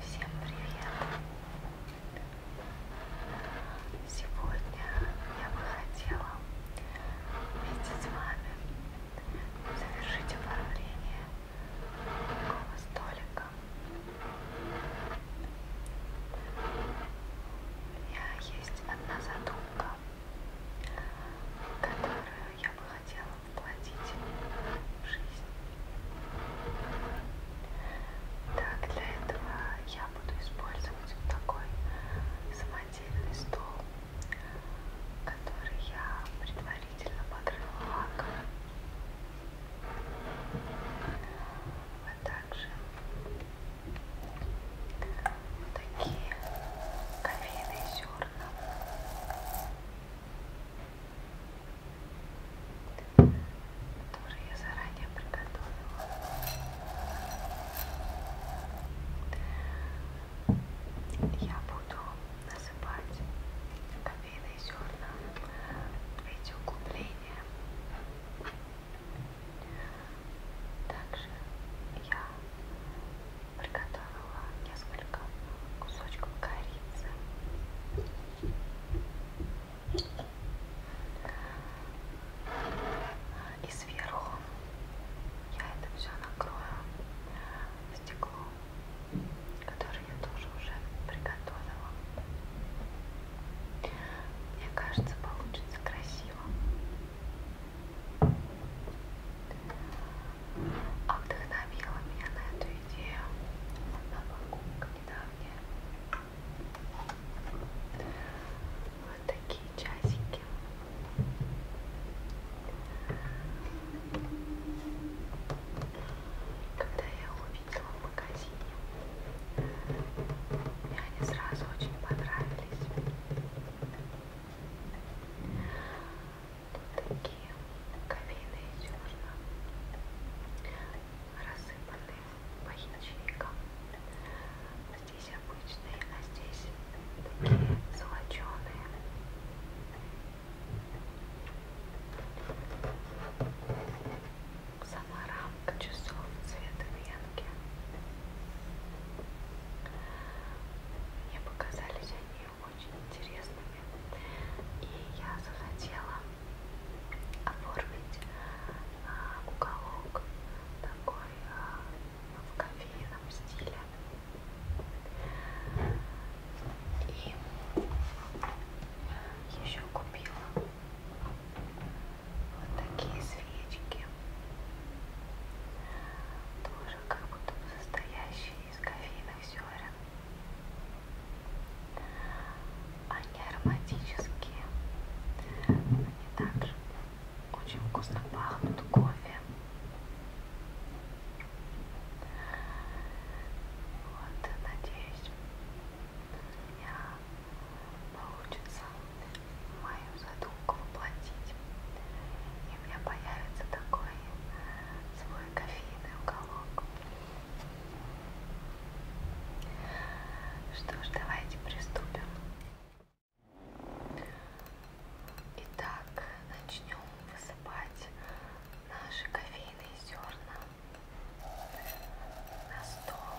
Всем привет! Сегодня я бы хотела вместе с вами завершить оформление такого столика. У меня есть одна задумка, которую я бы хотела воплотить в жизнь. Так, для этого я буду использовать вот такой самодельный стол, который я предварительно покрыла лаком. А также вот такие кофейные зерна которые я заранее приготовила. Я буду насыпать кофейные зерна в эти углубления. Также я приготовила несколько кусочков корицы. И сверху я это все накрою стеклом, которое я тоже уже приготовила. Мне кажется, получится красиво. А вдохновила меня на эту идею одна покупка недавняя. Вот такие часики. Когда я их увидела в магазине, мне они сразу очень понравились. Тут такие кофейные зерна, рассыпанные по ячейкам. Здесь обычные, а здесь такие золоченые. Сама рамка часов цвета венки. Мне показались они очень интересными. И я захотела оформить а, уголок такой а, в кофейном стиле. И еще купила вот такие свечки, тоже как будто бы состоящие из кофейных зерен. Они ароматические, они также очень вкусно пахнут кофе. Вот, надеюсь, я получится мою задумку воплотить. И у меня появится такой свой кофейный уголок. Что ж, давайте приступим. Итак, начнем высыпать наши кофейные зерна на стол.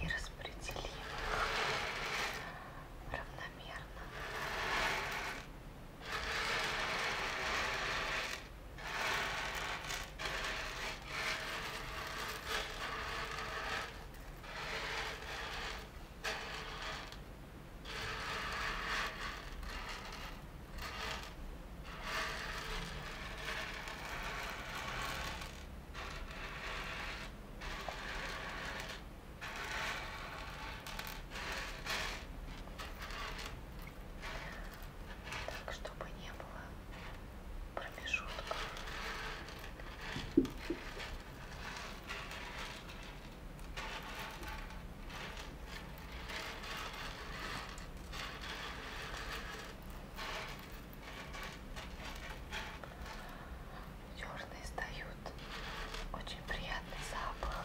и распределим их равномерно. Так, чтобы не было промежутков. Черные сдают очень приятный запах.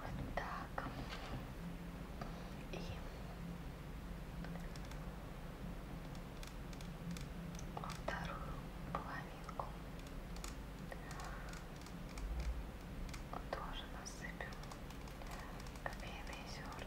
Вот так. И вторую половинку тоже насыпем кофейные зерна.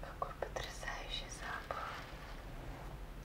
Какой потрясающий запах.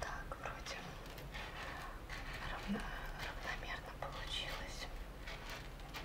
Так, вроде равномерно получилось.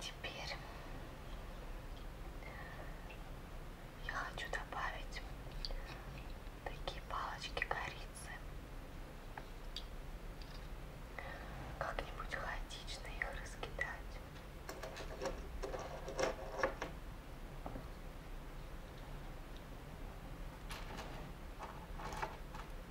Теперь я хочу добавить такие палочки корицы. Как-нибудь хаотично их раскидать.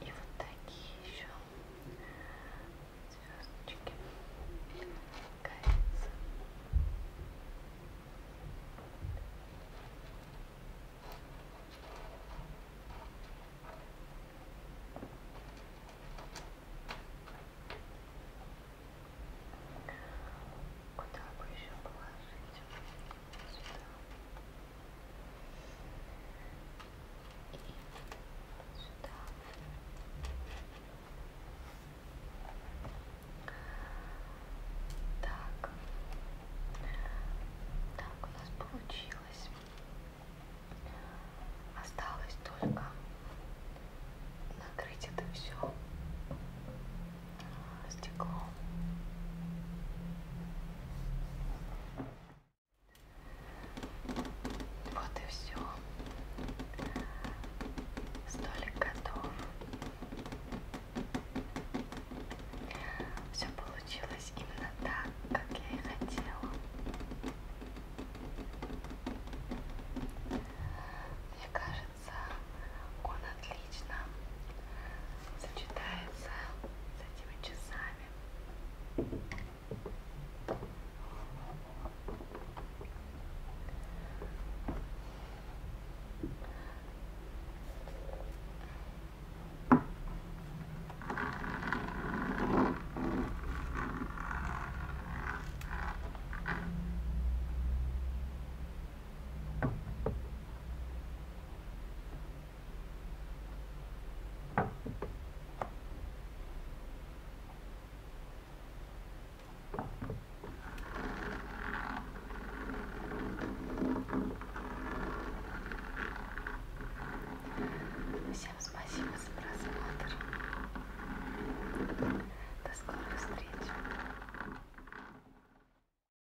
И вот такие еще звездочки. Кажется. Куда бы еще положить? Сюда сюда. Так. Так, у нас получилось. Осталось только накрыть это все стеклом. Вот и все. Столик готов. Все получилось именно так, как я и хотела. Мне кажется, он отлично сочетается с этими часами. Всем спасибо за просмотр. До скорых встреч.